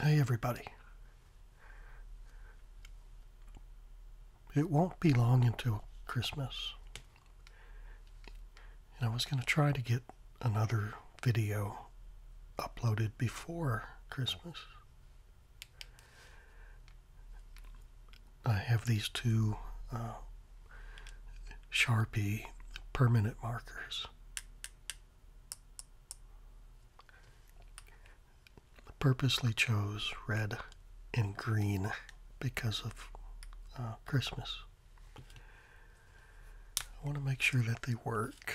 Hey, everybody. It won't be long until Christmas. And I was going to try to get another video uploaded before Christmas. I have these two uh, Sharpie permanent markers purposely chose red and green because of uh, Christmas. I want to make sure that they work.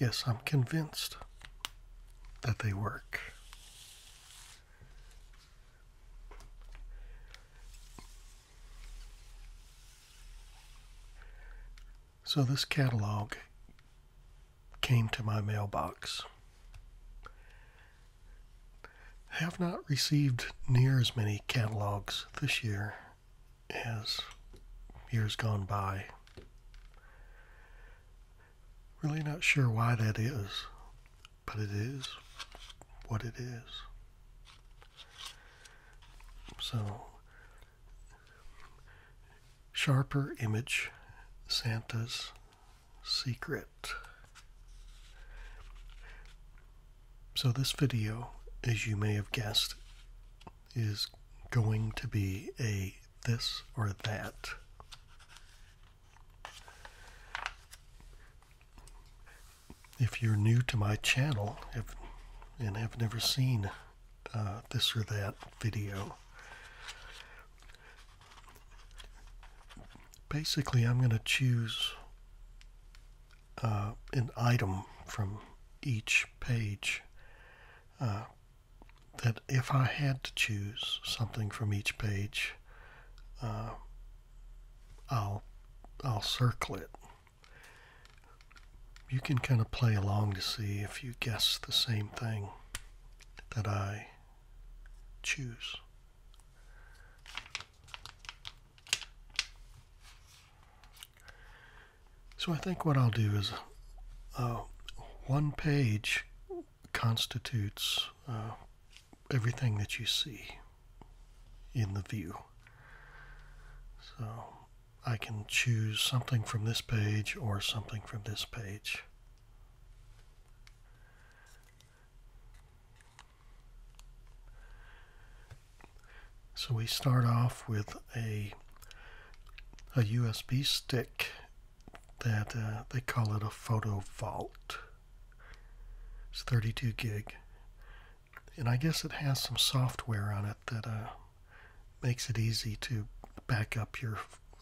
Yes, I'm convinced that they work. So this catalog came to my mailbox. Have not received near as many catalogs this year as years gone by. Really not sure why that is, but it is what it is. So, sharper image, Santa's secret. So, this video, as you may have guessed, is going to be a this or that if you're new to my channel if, and have never seen uh, this or that video, basically I'm going to choose uh, an item from each page uh, that if I had to choose something from each page, I'll I'll circle it. You can kind of play along to see if you guess the same thing that I choose. So I think what I'll do is uh, one page constitutes uh, everything that you see in the view. So I can choose something from this page or something from this page. So we start off with a, a USB stick that uh, they call it a photo vault. It's 32 gig and I guess it has some software on it that uh, makes it easy to back up your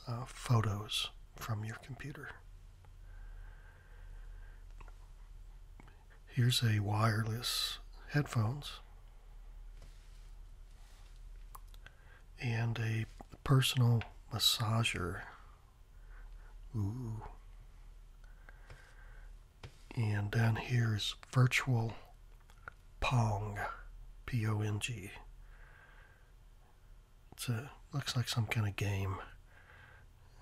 uh, photos from your computer. Here's a wireless headphones and a personal massager. Ooh. And down here is virtual Pong, P O N G. It's a looks like some kind of game.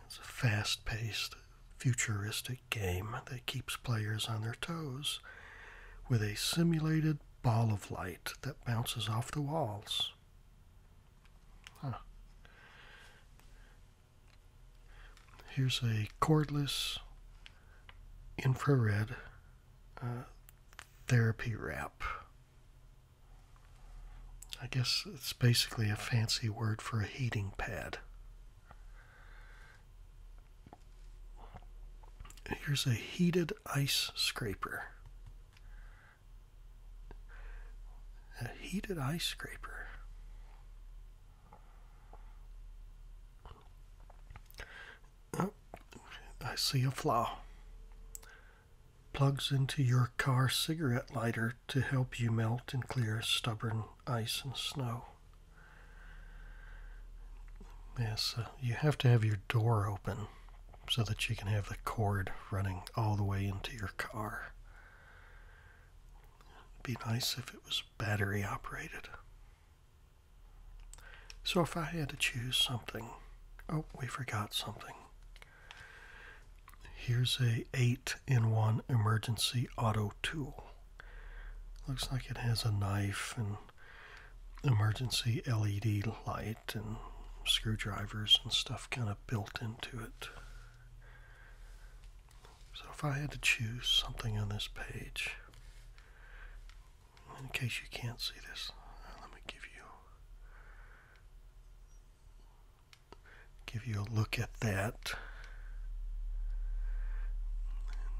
It's a fast-paced, futuristic game that keeps players on their toes with a simulated ball of light that bounces off the walls. Here's a cordless infrared uh, therapy wrap. I guess it's basically a fancy word for a heating pad. Here's a heated ice scraper. A heated ice scraper. Oh, I see a flaw. Plugs into your car cigarette lighter to help you melt and clear stubborn ice and snow. Yes, uh, you have to have your door open so that you can have the cord running all the way into your car. It'd be nice if it was battery operated. So if I had to choose something, oh, we forgot something. Here's a 8-in-1 emergency auto tool. Looks like it has a knife and emergency LED light and screwdrivers and stuff kind of built into it. So if I had to choose something on this page, in case you can't see this, uh, let me give you give you a look at that.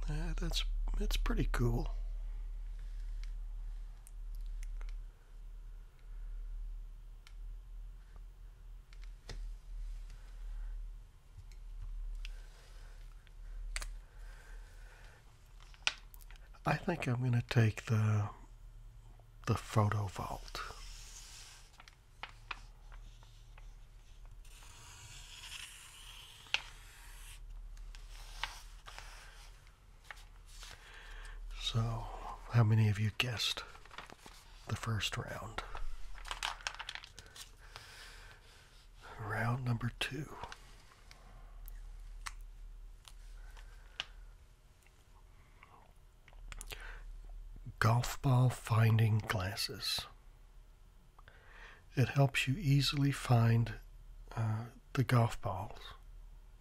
Uh, that's it's pretty cool. I think I'm going to take the the photo vault. So, how many of you guessed? the first round. Round number two. Golf ball finding glasses. It helps you easily find uh, the golf balls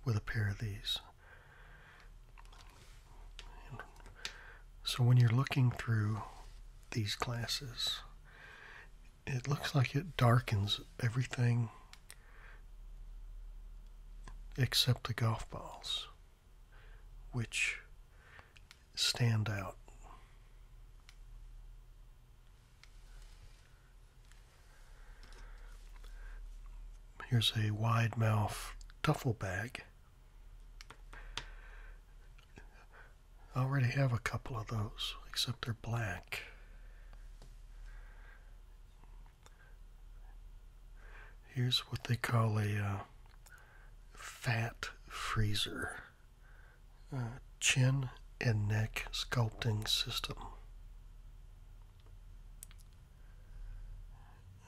with a pair of these. So when you're looking through these glasses, it looks like it darkens everything except the golf balls, which stand out. Here's a wide mouth duffel bag I already have a couple of those, except they're black. Here's what they call a uh, fat freezer uh, chin and neck sculpting system.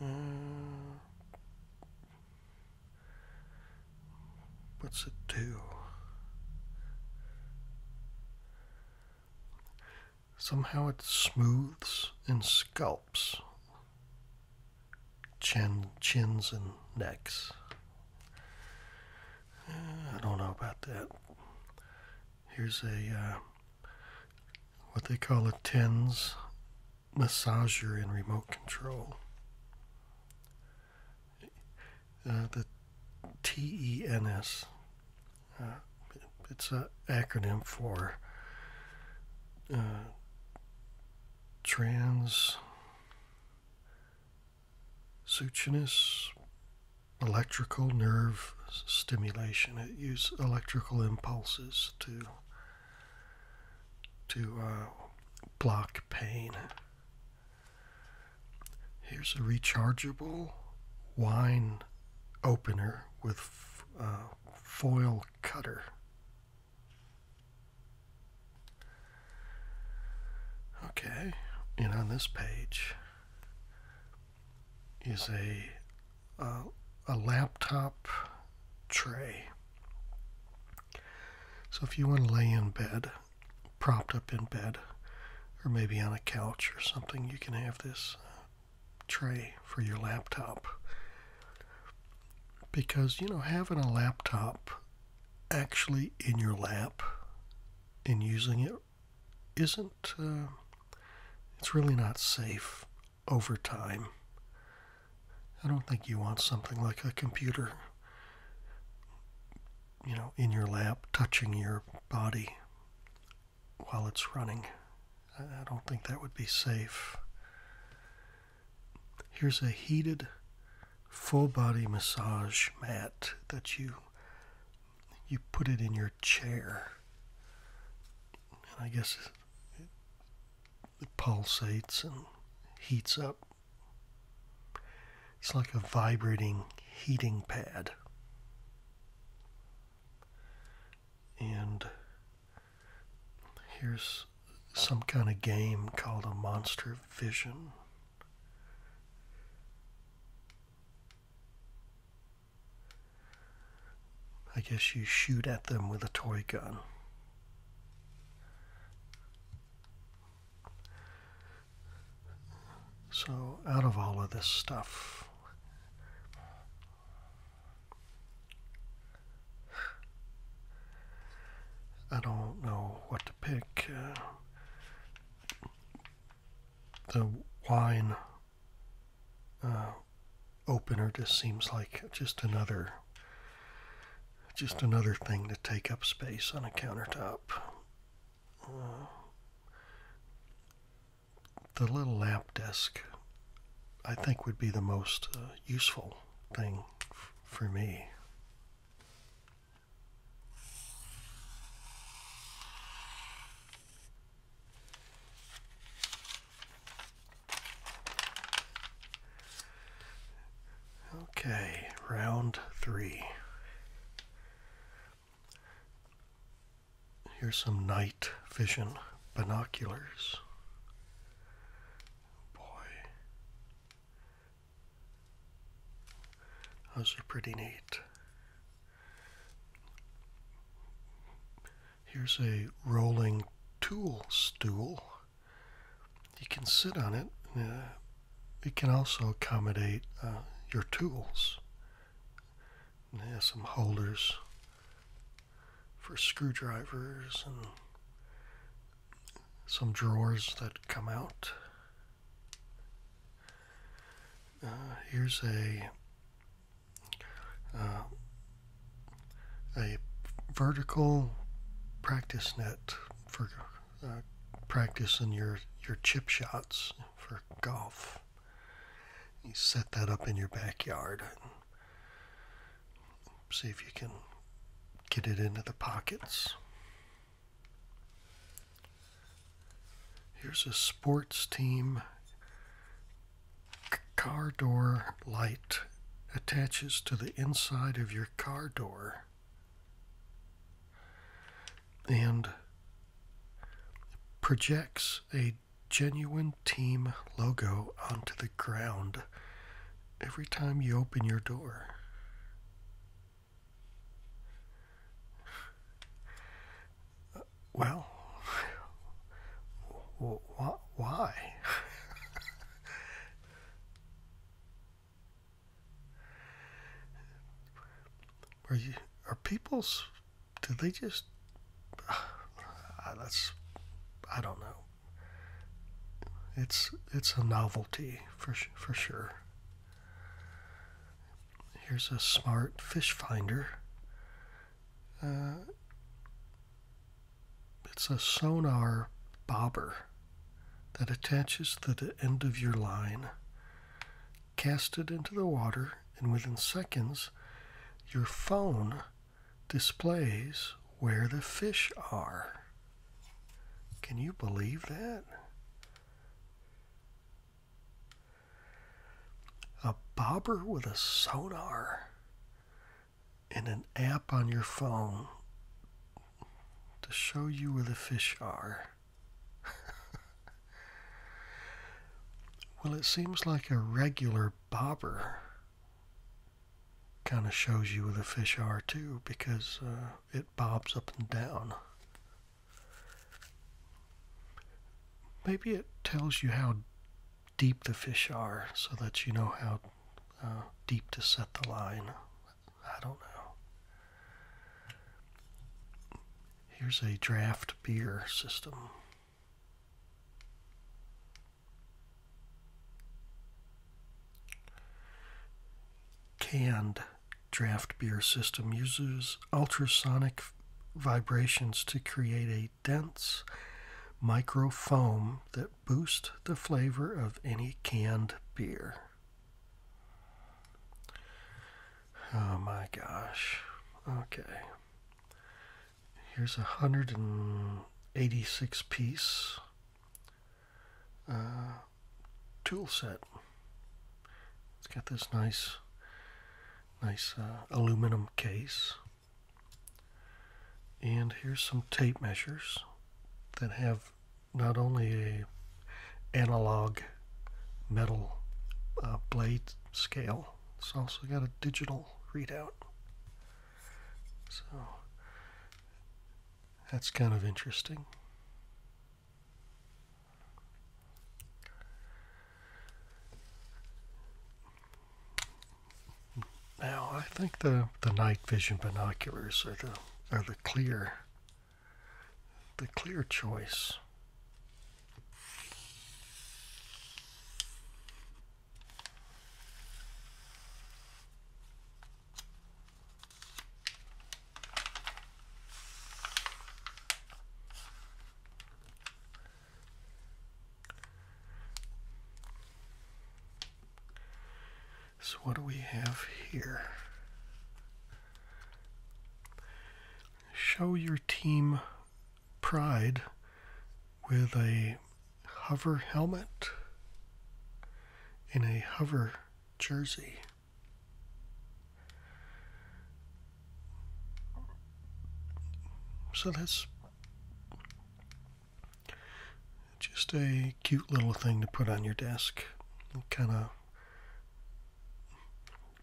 Uh, What's it do? Somehow it smooths and scalps chins and necks. Eh, I don't know about that. Here's a uh, what they call a tens massager and remote control. Uh, the T E N S. Uh, it's an acronym for uh, Trans Suchinous Electrical Nerve Stimulation. It uses electrical impulses to to uh, block pain. Here's a rechargeable wine opener with uh, foil cutter. Okay, and on this page is a a laptop tray. So if you want to lay in bed, propped up in bed, or maybe on a couch or something, you can have this uh, tray for your laptop. Because, you know, having a laptop actually in your lap and using it isn't, uh, it's really not safe over time. I don't think you want something like a computer, you know, in your lap touching your body while it's running. I don't think that would be safe. Here's a heated full body massage mat that you you put it in your chair. And I guess it pulsates and heats up. It's like a vibrating heating pad. And here's some kind of game called a Monster Vision. I guess you shoot at them with a toy gun. So, out of all of this stuff, I don't know what to pick. Uh, the wine uh, opener just seems like just another just another thing to take up space on a countertop. Uh, the little lamp desk, I think, would be the most uh, useful thing for me. Okay, round three. Here's some night vision binoculars. Boy, those are pretty neat. Here's a rolling tool stool. You can sit on it. Uh, it can also accommodate uh, your tools. And it has some holders for screwdrivers and some drawers that come out. Uh, here's a a vertical practice net for uh, practicing your, your chip shots for golf. You set that up in your backyard and see if you can get it into the pockets. Here's a sports team car door light attaches to the inside of your car door and projects a genuine team logo onto the ground every time you open your door. Well, why? are you are people's do they just ah, that's I don't know. It's it's a novelty for for sure. Here's a smart fish finder. Uh, it's a sonar bobber that attaches to the end of your line. Cast it into the water, and within seconds, your phone displays where the fish are. Can you believe that? A bobber with a sonar and an app on your phone to show you where the fish are. well, it seems like a regular bobber kind of shows you where the fish are too because uh, it bobs up and down. Maybe it tells you how deep the fish are so that you know how uh, deep to set the line. I don't know. Here's a draft beer system. Canned draft beer system uses ultrasonic vibrations to create a dense microfoam that boost the flavor of any canned beer. Oh my gosh. Okay. Here's a 186 piece uh, tool set. It's got this nice, nice uh, aluminum case. And here's some tape measures that have not only a analog metal uh, blade scale, it's also got a digital readout. So that's kind of interesting. Now I think the, the night vision binoculars are the are the clear the clear choice. So what do we have here? Show your team pride with a hover helmet in a hover jersey. So that's just a cute little thing to put on your desk. Kind of,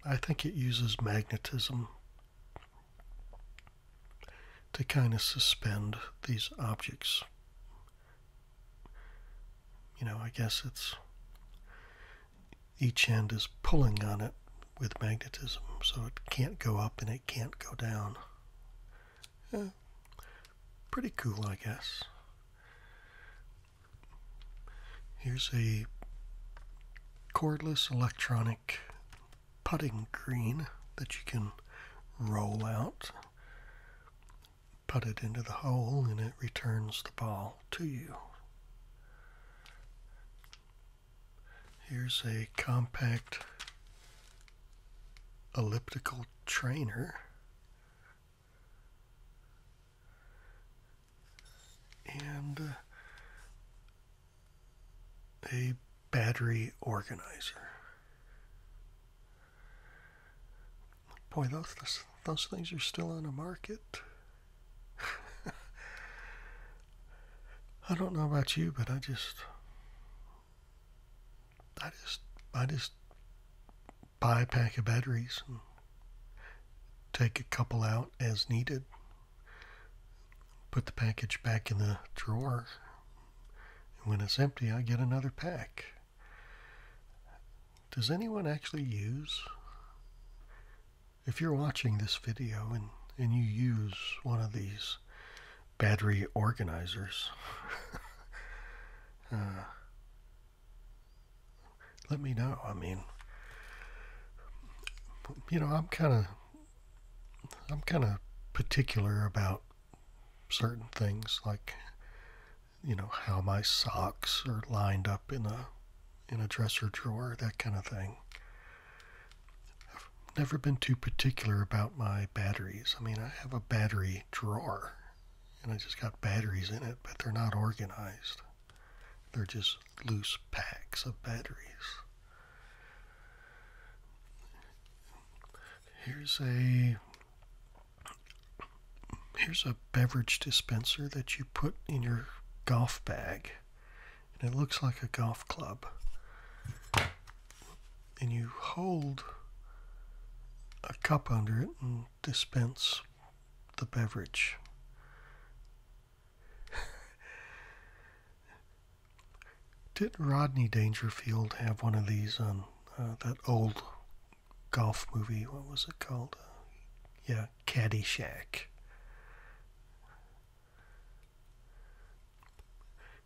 I think it uses magnetism to kind of suspend these objects. You know, I guess it's each end is pulling on it with magnetism, so it can't go up and it can't go down pretty cool, I guess. Here's a cordless electronic putting green that you can roll out, put it into the hole, and it returns the ball to you. Here's a compact elliptical trainer. And uh, a battery organizer. Boy, those, those things are still on the market. I don't know about you, but I just I just I just buy a pack of batteries take a couple out as needed. Put the package back in the drawer. And when it's empty, I get another pack. Does anyone actually use? If you're watching this video and, and you use one of these battery organizers. Uh, let me know. I mean, you know, I'm kind of, I'm kind of particular about certain things, like, you know, how my socks are lined up in a, in a dresser drawer, that kind of thing. I've never been too particular about my batteries. I mean, I have a battery drawer and I just got batteries in it, but they're not organized. They're just loose packs of batteries. Here's a here's a beverage dispenser that you put in your golf bag and it looks like a golf club and you hold a cup under it and dispense the beverage. Did Rodney Dangerfield have one of these on uh, that old golf movie? What was it called? Uh, yeah, Caddyshack.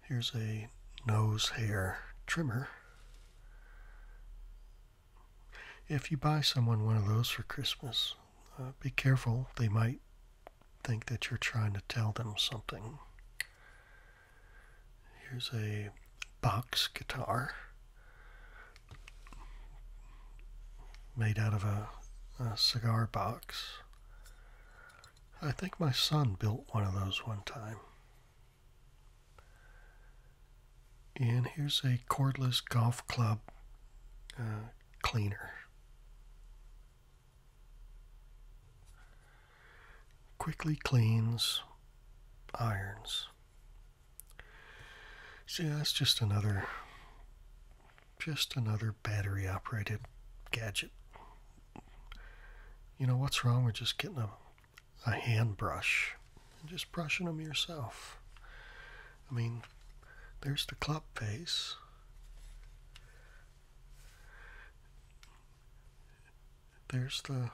Here's a nose hair trimmer. If you buy someone one of those for Christmas, uh, be careful. They might think that you're trying to tell them something. Here's a box guitar made out of a cigar box. I think my son built one of those one time. And here's a cordless golf club uh, cleaner. Quickly cleans irons. See, that's just another, just another battery operated gadget you know, what's wrong with just getting a, a hand brush and just brushing them yourself? I mean, there's the club face. There's the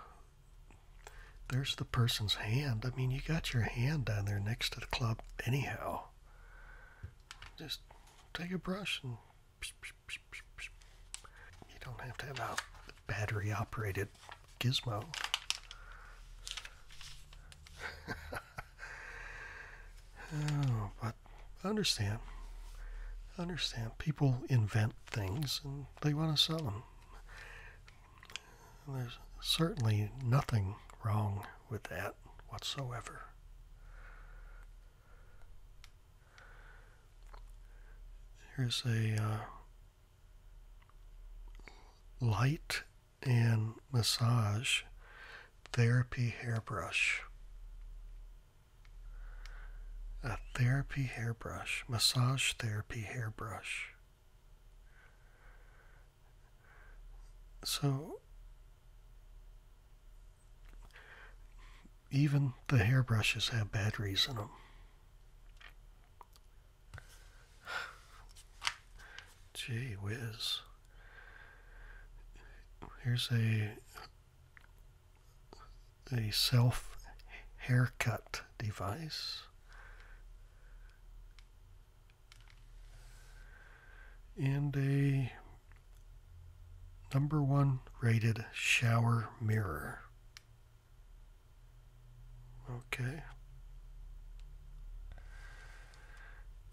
there's the person's hand. I mean, you got your hand down there next to the club anyhow. Just take a brush and you don't have to have a battery operated gizmo. Oh, but I understand. I understand. People invent things and they want to sell them. And there's certainly nothing wrong with that whatsoever. Here's a uh, light and massage therapy hairbrush. A therapy hairbrush, massage therapy hairbrush. So even the hairbrushes have batteries in them. Gee whiz. Here's a a self haircut device. And a Number one rated shower mirror. Okay.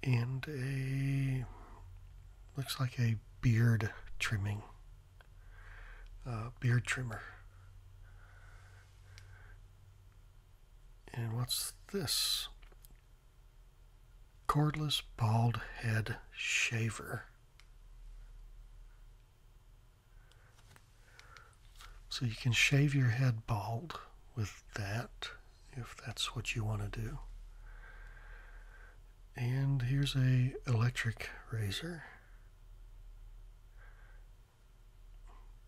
And a looks like a beard trimming, uh, beard trimmer. And what's this? Cordless bald head shaver. So you can shave your head bald with that if that's what you want to do. And here's a electric razor.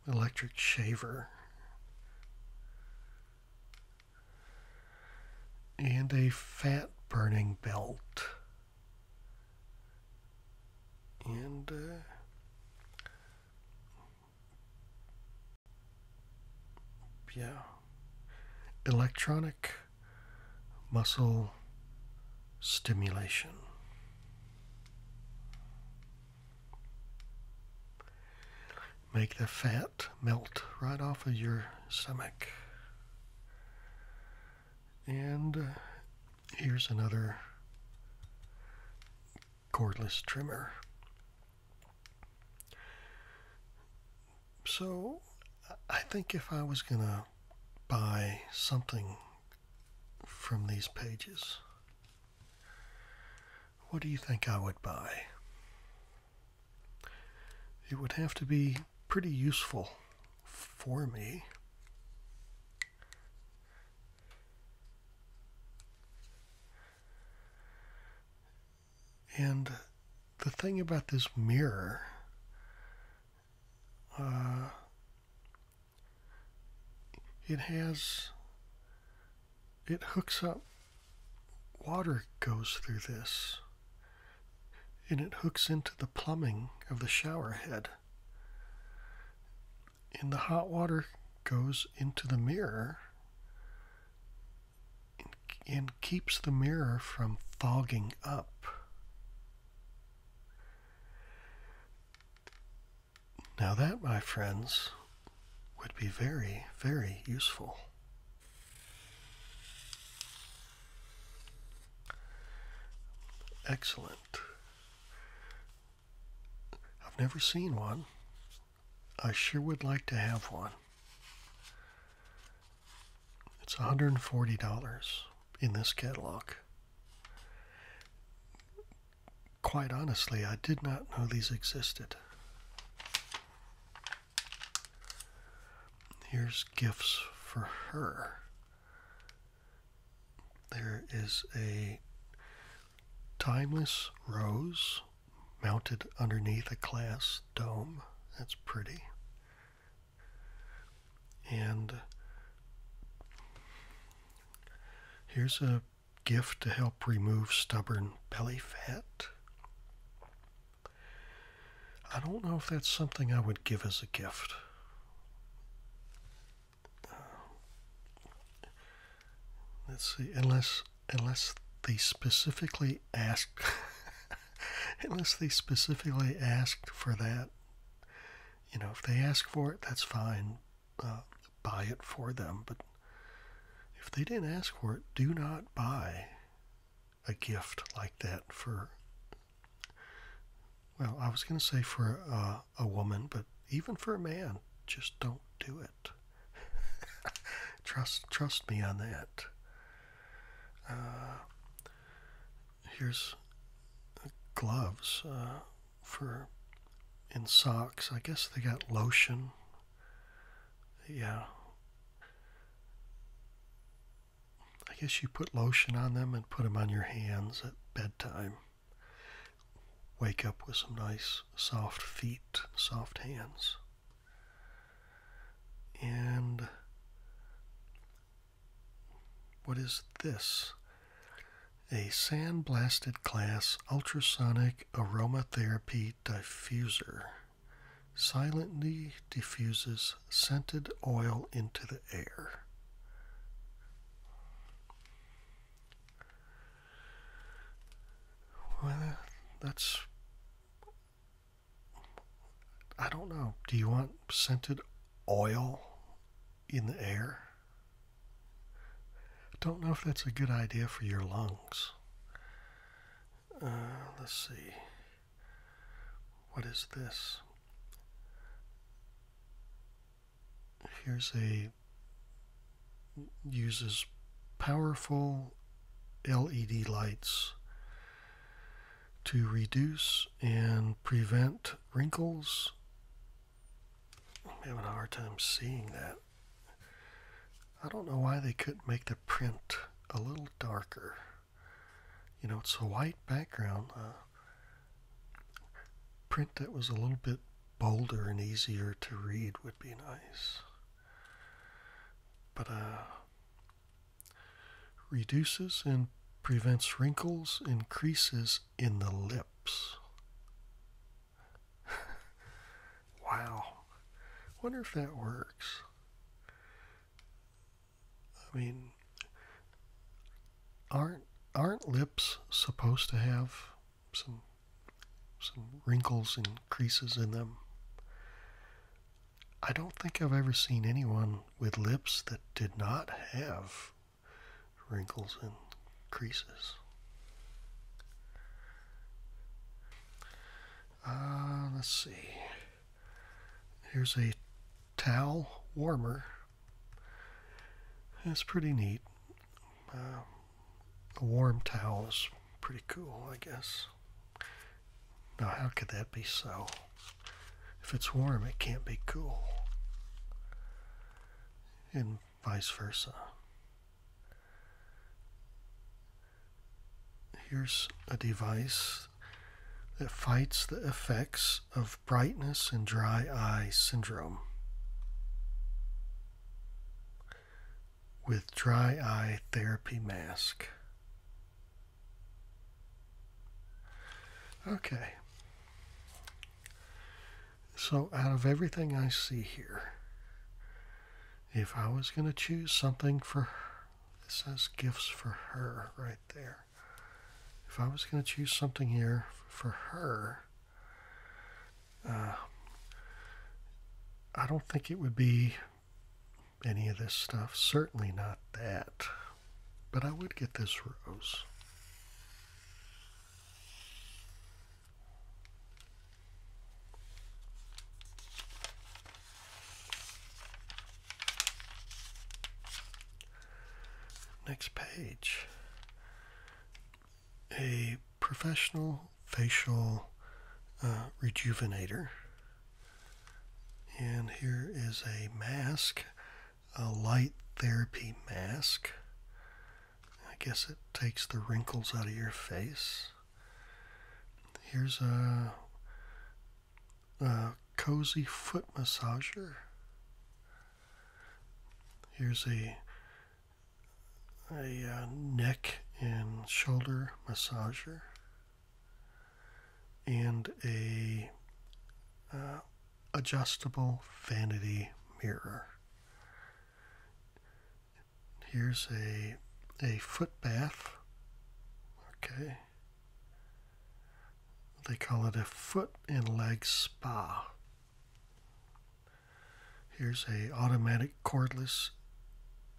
Electric shaver and a fat burning belt. And uh, yeah, electronic muscle stimulation. Make the fat melt right off of your stomach. And here's another cordless trimmer. So I think if I was going to buy something from these pages, what do you think I would buy? it would have to be pretty useful for me. And the thing about this mirror, uh, it has, it hooks up, water goes through this and it hooks into the plumbing of the shower head. And the hot water goes into the mirror and keeps the mirror from fogging up. Now, that, my friends, would be very, very useful. Excellent. I've never seen one. I sure would like to have one. It's $140 in this catalog. Quite honestly, I did not know these existed. Here's gifts for her. There is a timeless rose mounted underneath a glass dome. That's pretty. And here's a gift to help remove stubborn belly fat. I don't know if that's something I would give as a gift. Um, let's see, unless unless they specifically asked, unless they specifically asked for that. You know, if they ask for it, that's fine. Uh, buy it for them, but if they didn't ask for it, do not buy a gift like that for, well, I was going to say for a, woman, but even for a man, just don't do it. trust, trust me on that. Uh, here's uh, gloves uh, for in socks. I guess they got lotion. Yeah. I guess you put lotion on them and put them on your hands at bedtime. Wake up with some nice soft feet, soft hands. And what is this? A sand blasted glass ultrasonic aromatherapy diffuser silently diffuses scented oil into the air. Well, that's. I don't know. Do you want scented oil in the air? don't know if that's a good idea for your lungs. Uh, let's see. What is this? Here's a uses powerful LED lights to reduce and prevent wrinkles. I'm having a hard time seeing that. I don't know why they couldn't make the print a little darker you know, it's a white background uh, print that was a little bit bolder and easier to read would be nice. But uh, reduces and prevents wrinkles and creases in the lips. wow. Wonder if that works. I mean, aren't aren't lips supposed to have some some wrinkles and creases in them? I don't think I've ever seen anyone with lips that did not have wrinkles and creases. Uh, let's see. Here's a towel warmer. That's pretty neat. Uh, a warm towel is pretty cool, I guess. Now, how could that be so? If it's warm, it can't be cool. And vice versa. Here's a device that fights the effects of brightness and dry eye syndrome. With dry eye therapy mask. Okay. So, out of everything I see here, if I was going to choose something for it says gifts for her right there. If I was going to choose something here for her, uh, I don't think it would be any of this stuff. Certainly not that. But I would get this rose. Next page. A professional facial uh, rejuvenator. And here is a mask, a light therapy mask. I guess it takes the wrinkles out of your face. Here's a a cozy foot massager. Here's a a uh, neck and shoulder massager and a uh, adjustable vanity mirror. Here's a a foot bath. Okay. They call it a foot and leg spa. Here's a automatic cordless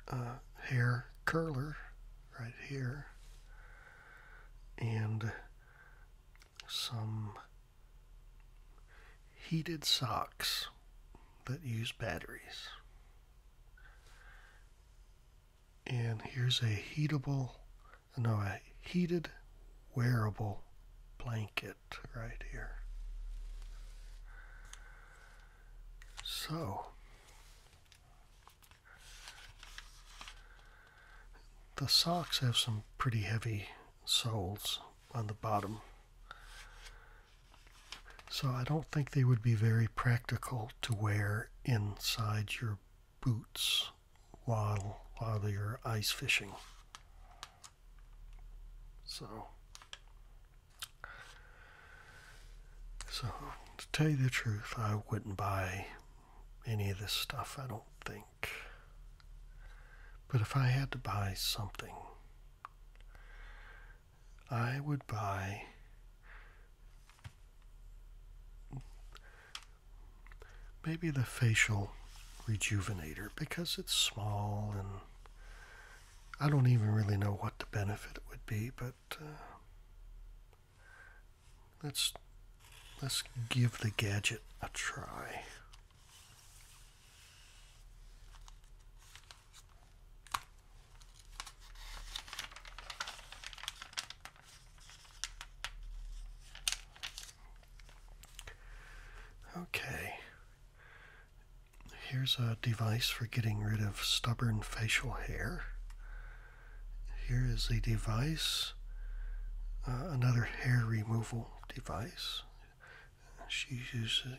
uh, hair curler right here. And some heated socks that use batteries and here's a heatable no a heated wearable blanket right here so the socks have some pretty heavy soles on the bottom so I don't think they would be very practical to wear inside your boots while, while you're ice fishing. So, so to tell you the truth, I wouldn't buy any of this stuff, I don't think. But if I had to buy something, I would buy maybe the facial rejuvenator because it's small and I don't even really know what the benefit would be, but uh, let's let's give the gadget a try. Okay, here's a device for getting rid of stubborn facial hair. Here is a device, uh, another hair removal device. She's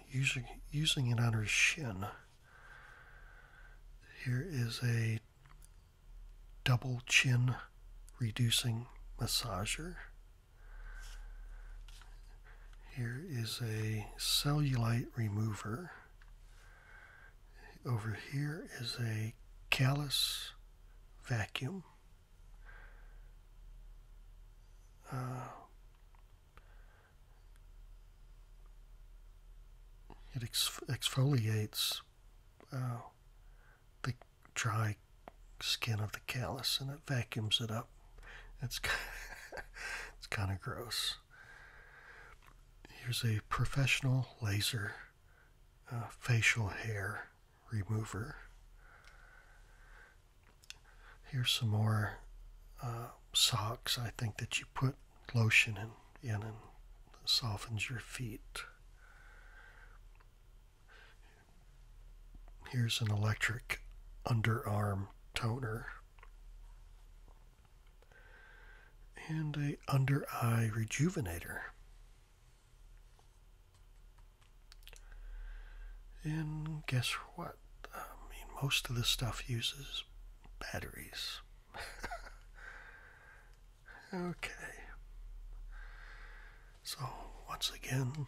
using, using it on her shin. Here is a double chin reducing massager. Here is a cellulite remover. Over here is a callus vacuum. Uh, it exfoliates uh, the dry skin of the callus and it vacuums it up. It's kind of, it's kind of gross. Here's a professional laser uh, facial hair remover. Here's some more uh, socks I think that you put lotion and in and softens your feet. Here's an electric underarm toner and a under eye rejuvenator. And guess what? I mean, most of the stuff uses batteries. okay. So, once again,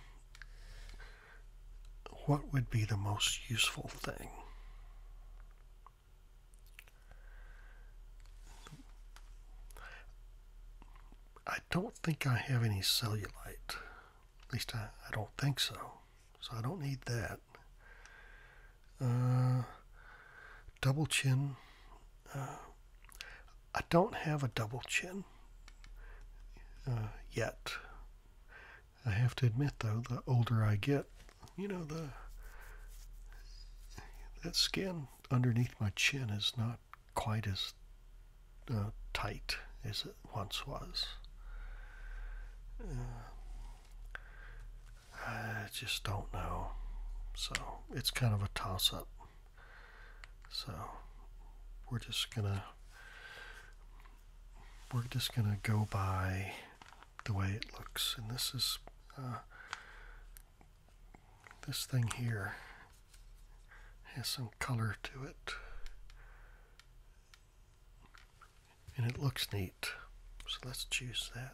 what would be the most useful thing? I don't think I have any cellulite. At least I, I don't think so. So I don't need that. Uh, double chin. Uh, I don't have a double chin uh, yet. I have to admit, though, the older I get, you know, the that skin underneath my chin is not quite as tight as it once was. I just don't know. So it's kind of a toss up. So we're just gonna we're just gonna go by the way it looks, and this is uh, this thing here has some color to it and it looks neat. So let's choose that.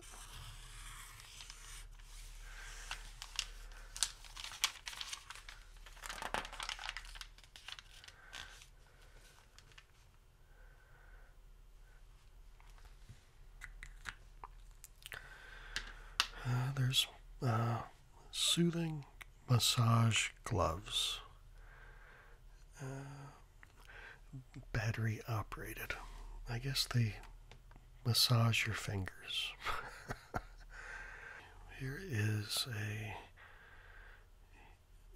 Uh, there's uh, soothing massage gloves. Uh, battery operated. I guess they massage your fingers. Here is a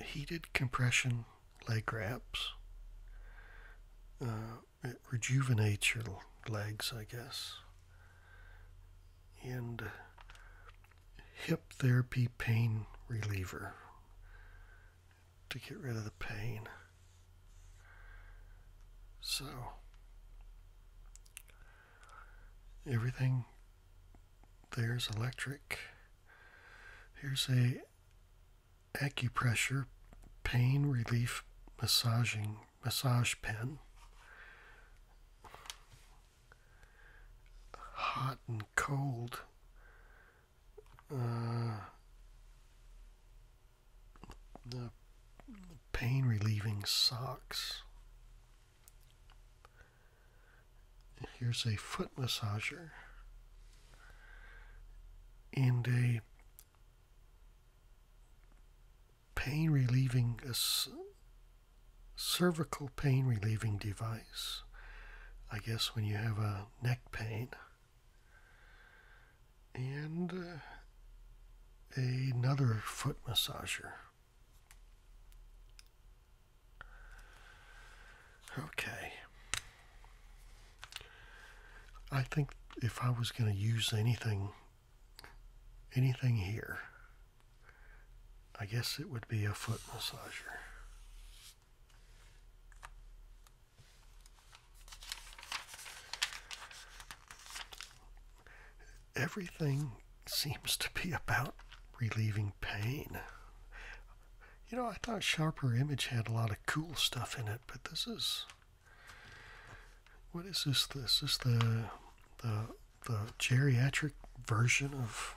heated compression leg wraps. Uh, it rejuvenates your legs, I guess. And hip therapy pain reliever to get rid of the pain. So everything there's electric. Here's a acupressure pain relief massaging massage pen. Hot and cold uh, pain relieving socks. Here's a foot massager and a pain relieving a cervical pain relieving device. I guess when you have a neck pain and uh, another foot massager. Okay. I think if I was going to use anything, anything here, I guess it would be a foot massager. Everything seems to be about relieving pain. You know, I thought Sharper Image had a lot of cool stuff in it, but this is what is this? This is the the the geriatric version of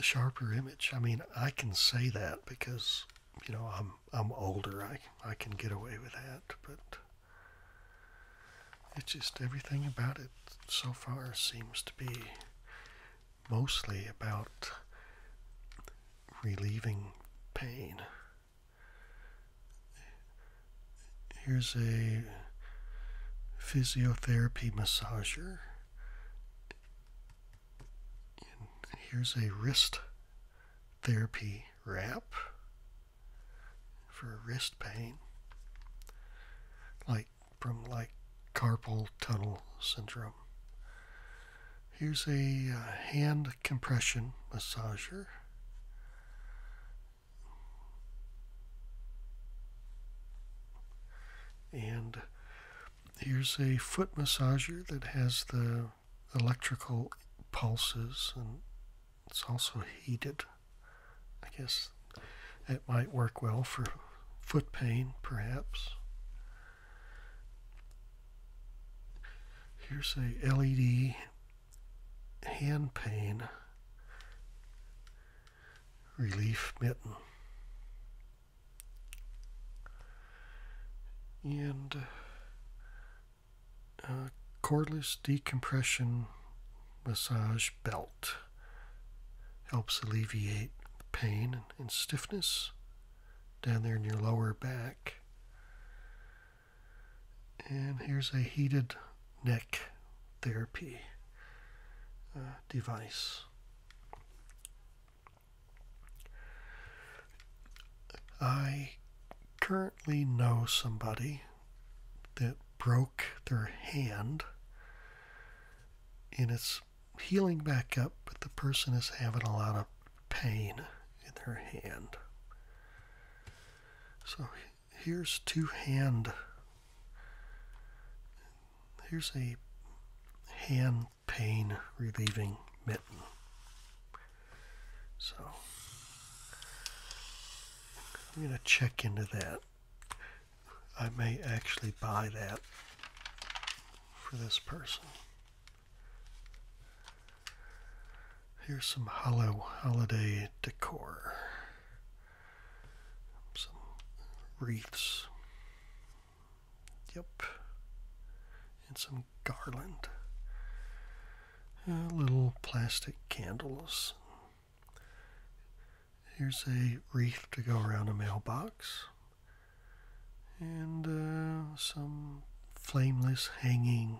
a sharper image. I mean, I can say that because you know I'm I'm older. I I can get away with that, but it's just everything about it so far seems to be mostly about relieving pain. Here's a physiotherapy massager here's a wrist therapy wrap for wrist pain, like from like carpal tunnel syndrome. Here's a uh, hand compression massager. And Here's a foot massager that has the electrical pulses and it's also heated. I guess it might work well for foot pain, perhaps. Here's a LED hand pain relief mitten and uh, uh, cordless decompression massage belt helps alleviate pain and stiffness down there in your lower back. And here's a heated neck therapy uh, device. I currently know somebody that broke their hand and it's healing back up, but the person is having a lot of pain in their hand. So here's two hand here's a hand pain relieving mitten. So I'm going to check into that. I may actually buy that for this person. Here's some hollow holiday decor. Some wreaths. Yep. And some garland. little plastic candles. Here's a wreath to go around a mailbox. And uh, some flameless hanging,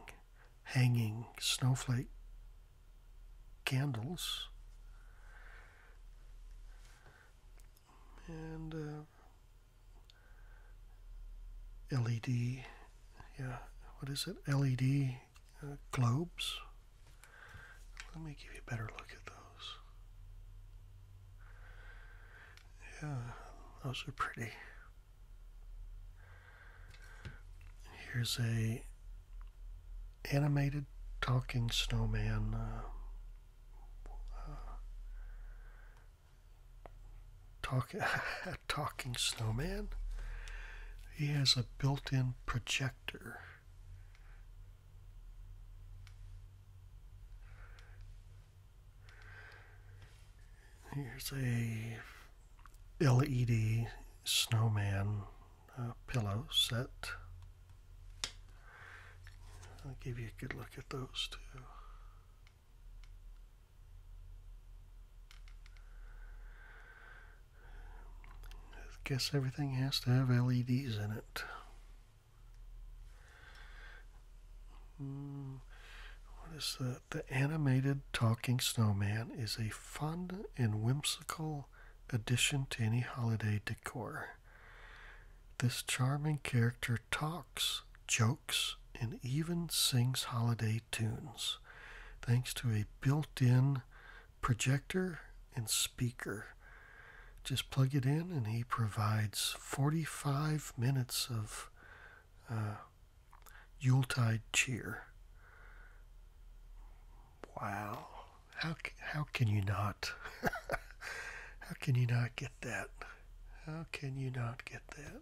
hanging snowflake candles and uh, LED, yeah, what is it? LED uh, globes. Let me give you a better look at those. Yeah, those are pretty. Here's a animated talking snowman uh, talking talking snowman. He has a built-in projector. Here's a LED snowman uh, pillow set. I'll give you a good look at those too. I guess everything has to have LEDs in it. Hmm, what is that? The animated talking snowman is a fun and whimsical addition to any holiday decor. This charming character talks, jokes, and even sings holiday tunes, thanks to a built in projector and speaker. Just plug it in, and he provides 45 minutes of uh, Yuletide cheer. Wow how how can you not? how can you not get that? How can you not get that?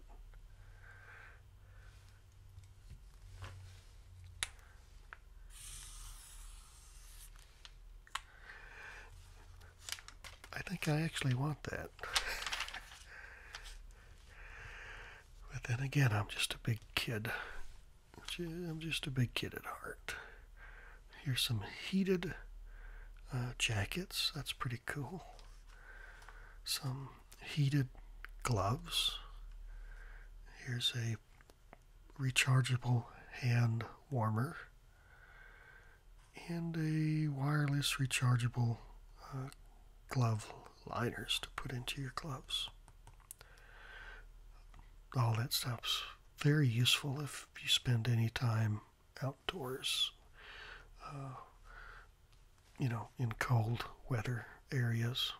I think I actually want that. but then again, I'm just a big kid. I'm just a big kid at heart. Here's some heated uh, jackets. That's pretty cool. Some heated gloves. Here's a rechargeable hand warmer and a wireless rechargeable uh, glove liners to put into your gloves. All that stuff's very useful if if you spend any time outdoors, uh, you know, in cold weather areas,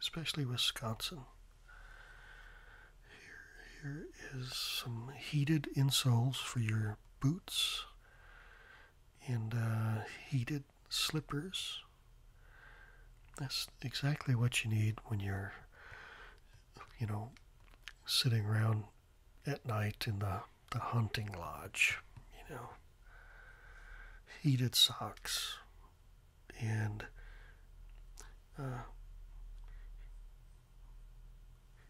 especially Wisconsin. here is some heated insoles for your boots and uh, heated slippers. That's exactly what you need when you're you know, sitting around at night in the, the hunting lodge, you know, heated socks, and uh,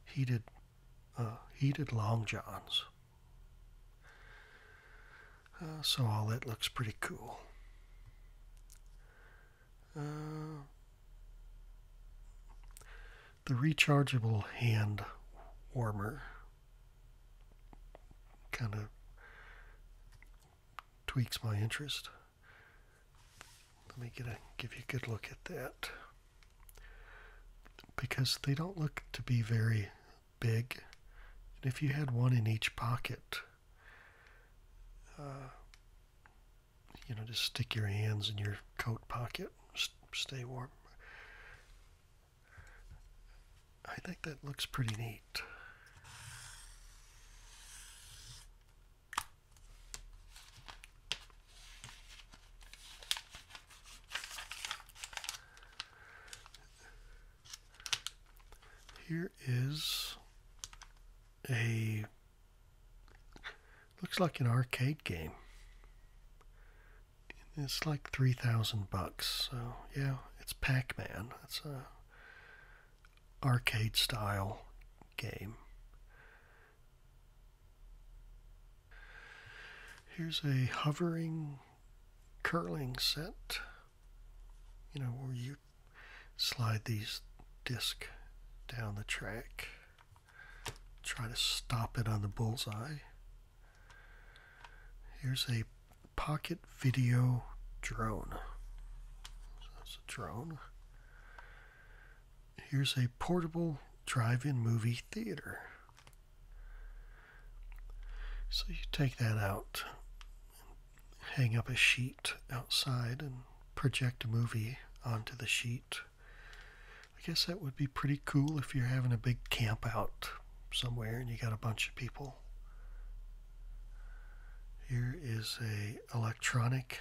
heated uh, heated long johns. Uh, so all that looks pretty cool the rechargeable hand warmer kind of tweaks my interest. Let me get a, give you a good look at that because they don't look to be very big. And if you had one in each pocket, uh, you know, just stick your hands in your coat pocket, stay warm. I think that looks pretty neat. Here is a Looks like an arcade game. It's like 3000 bucks. So, yeah, it's Pac-Man. It's a arcade style game. Here's a hovering curling set. You know, where you slide these disc down the track. Try to stop it on the bullseye. Here's a pocket video drone. So that's a drone. Here's a portable drive-in movie theater. So you take that out, hang up a sheet outside, and project a movie onto the sheet. I guess that would be pretty cool if you're having a big camp out somewhere and you got a bunch of people. Here is a electronic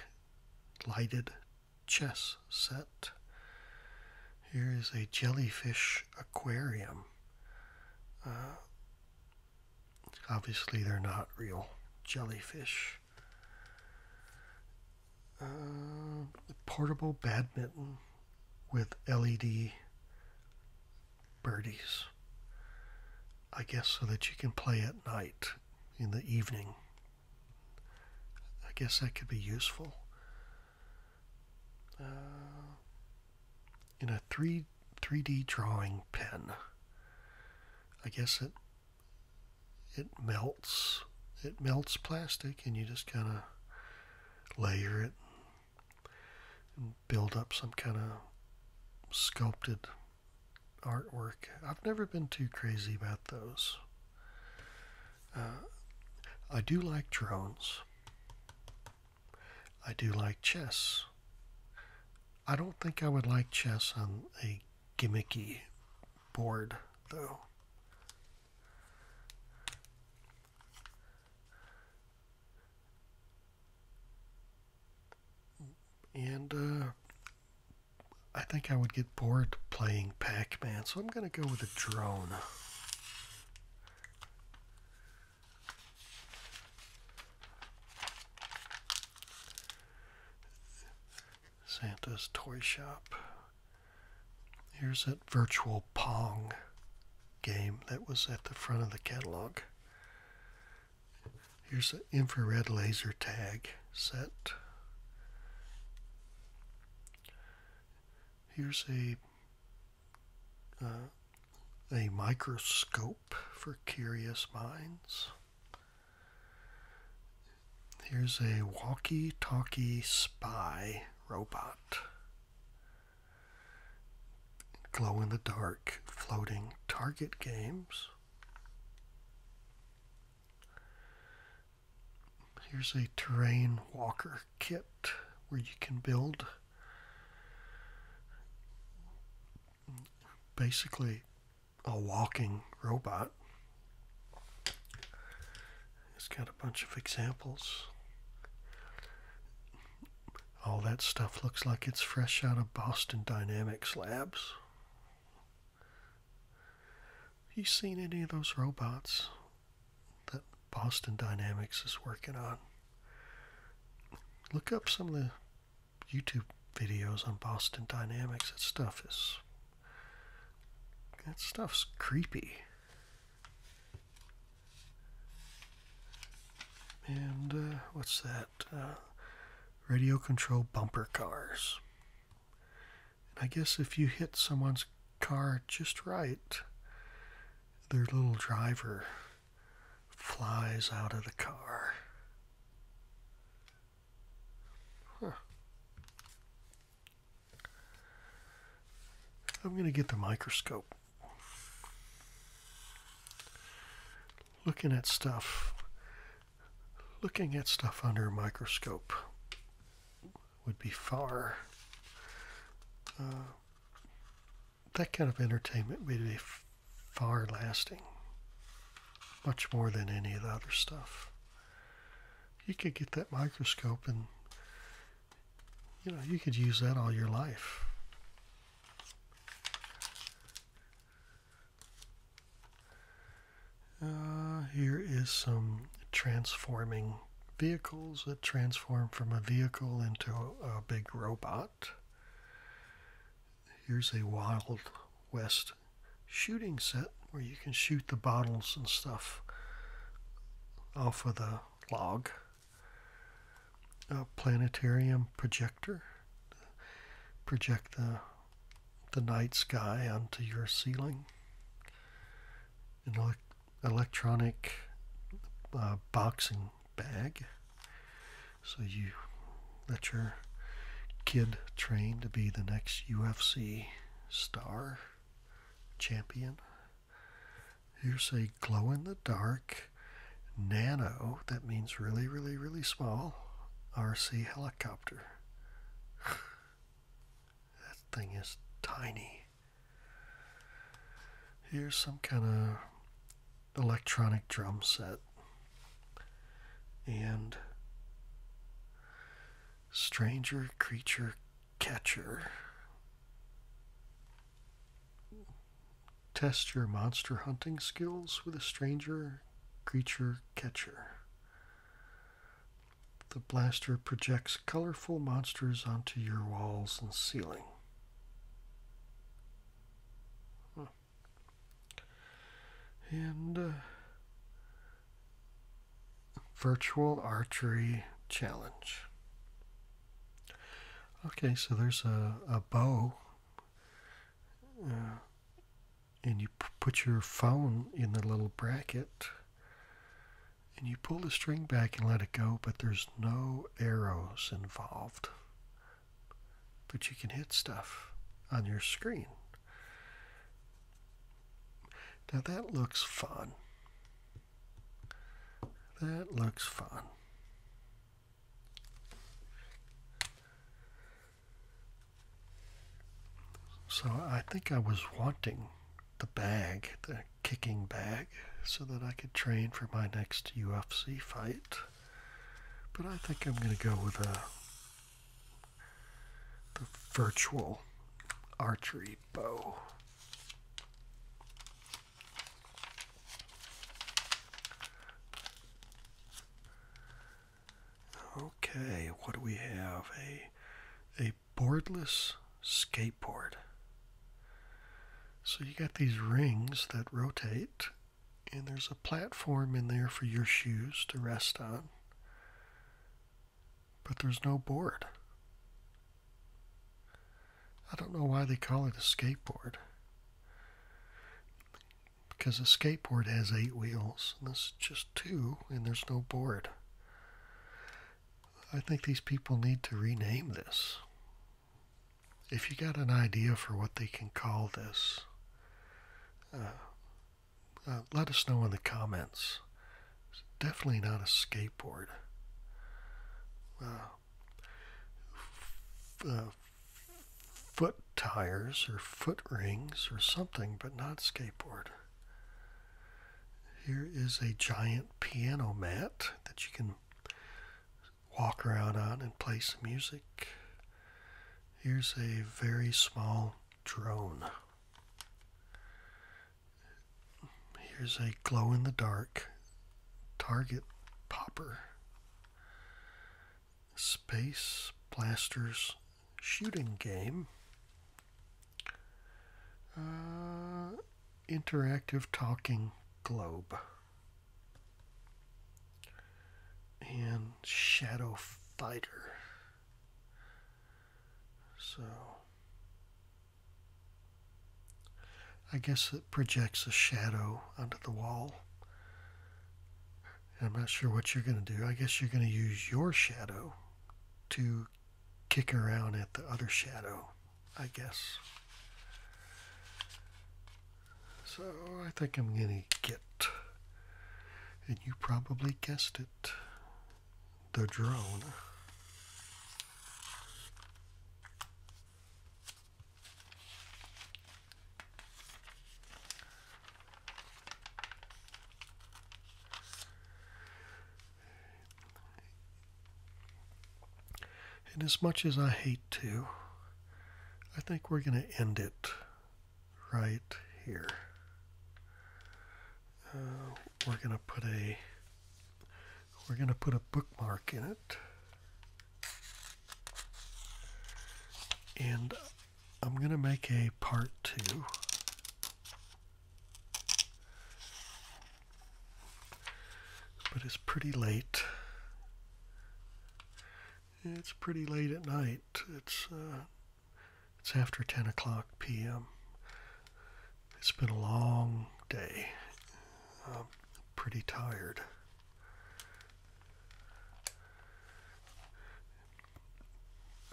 lighted chess set. Here is a jellyfish aquarium. Uh, obviously, they're not real jellyfish. Uh, portable badminton with LED birdies. I guess so that you can play at night in the evening. I guess that could be useful. Uh, in a 3, 3D drawing pen. I guess it it melts. It melts plastic, and you just kind of layer it and build up some kind of sculpted artwork. I've never been too crazy about those. Uh, I do like drones. I do like chess. I don't think I would like chess on a gimmicky board, though. And uh, I think I would get bored playing Pac Man, so I'm going to go with a drone. Santa's Toy Shop. Here's that virtual Pong game that was at the front of the catalog. Here's the infrared laser tag set. Here's a uh, a microscope for curious minds. Here's a walkie talkie spy robot. Glow in the dark floating target games. Here's a terrain walker kit where you can build basically a walking robot. It's got a bunch of examples. All that stuff looks like it's fresh out of Boston Dynamics Labs. You seen any of those robots that Boston Dynamics is working on? Look up some of the YouTube videos on Boston Dynamics. That stuff is that stuff's creepy. And uh, what's that? Uh, radio control bumper cars. And I guess if you hit someone's car just right, their little driver flies out of the car. Huh. I'm going to get the microscope. Looking at stuff, looking at stuff under a microscope would be far. Uh, that kind of entertainment would be far lasting much more than any of the other stuff. You could get that microscope and you know, you could use that all your life. Uh, here is some transforming vehicles that transform from a vehicle into a big robot. Here's a Wild West shooting set where you can shoot the bottles and stuff off of the log. A planetarium projector project the the night sky onto your ceiling. An ele- electronic uh, boxing bag, so you let your kid train to be the next UFC star champion. Here's a glow in the dark nano, that means really, really, really small, RC helicopter. that thing is tiny. Here's some kind of electronic drum set and Stranger Creature Catcher. Test your monster hunting skills with a stranger creature catcher. The blaster projects colorful monsters onto your walls and ceiling. Hmm and uh, virtual archery challenge. Okay, so there's a, a bow, uh, and you put your phone in the little bracket, and you pull the string back and let it go, but there's no arrows involved. But you can hit stuff on your screen. Now that looks fun. That looks fun. So I think I was wanting the bag, the kicking bag, so that I could train for my next UFC fight. But I think I'm going to go with a the virtual archery bow. Okay, what do we have? A a boardless skateboard. So you got these rings that rotate and there's a platform in there for your shoes to rest on, but there's no board. I don't know why they call it a skateboard. Because a skateboard has eight wheels, and this is just two, and there's no board. I think these people need to rename this. If you got an idea for what they can call this, uh, uh, let us know in the comments. It's definitely not a skateboard. Uh, uh, foot tires or foot rings or something, but not skateboard. Here is a giant piano mat that you can walk around on and play some music. Here's a very small drone. Here's a glow in the dark target popper. Space Blasters shooting game. Uh, interactive talking globe and Shadow Fighter. So I guess it projects a shadow onto the wall. I'm not sure what you're going to do. I guess you're going to use your shadow to kick around at the other shadow, I guess. So I think I'm going to get and you probably guessed it the drone. And as much as I hate to, I think we're going to end it right here. Uh, we're going to put a we're going to put a bookmark in it. And I'm going to make a part two. But it's pretty late. It's pretty late at night. It's uh, it's after 10 o'clock p.m. It's been a long day. I'm pretty tired.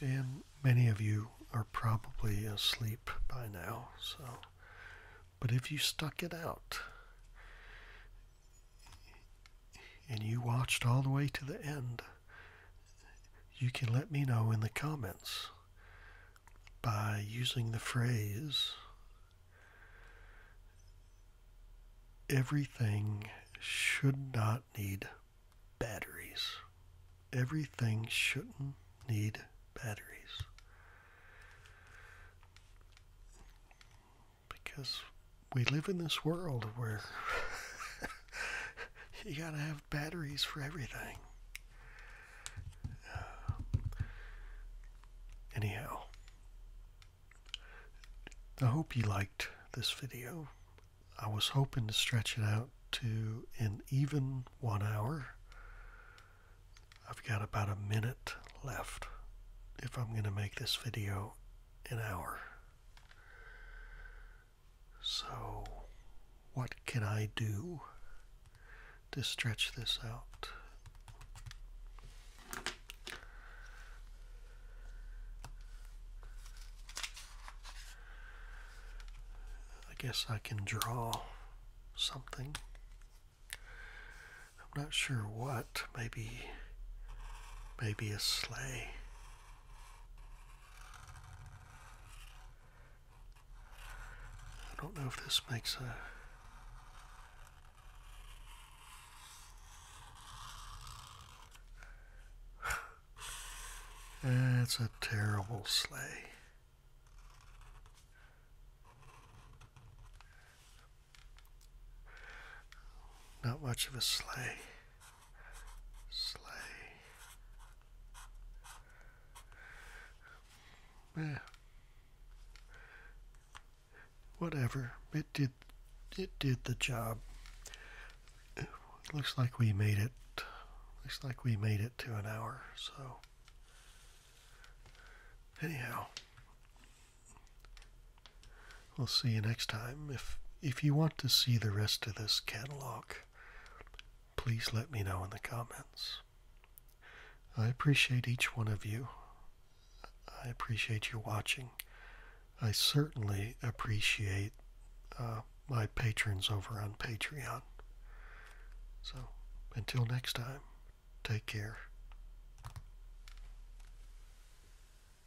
And many of you are probably asleep by now, so but if you stuck it out and you watched all the way to the end, you can let me know in the comments by using the phrase everything should not need batteries. Everything shouldn't need batteries because we live in this world where you gotta have batteries for everything. Uh, anyhow, I hope you liked this video. I was hoping to stretch it out to an even one hour. I've got about a minute left if I'm going to make this video an hour. So, what can I do to stretch this out? I guess I can draw something. I'm not sure what. Maybe maybe a sleigh. I don't know if this makes a That's a terrible sleigh. Not much of a sleigh. Slay. Eh. Whatever. It did it did the job. looks like we made it. Looks like we made it to an hour, so anyhow. We'll see you next time. If if you want to see the rest of this catalog, please let me know in the comments. I appreciate each one of you. I appreciate you watching. I certainly appreciate uh, my patrons over on Patreon. So, until next time, take care.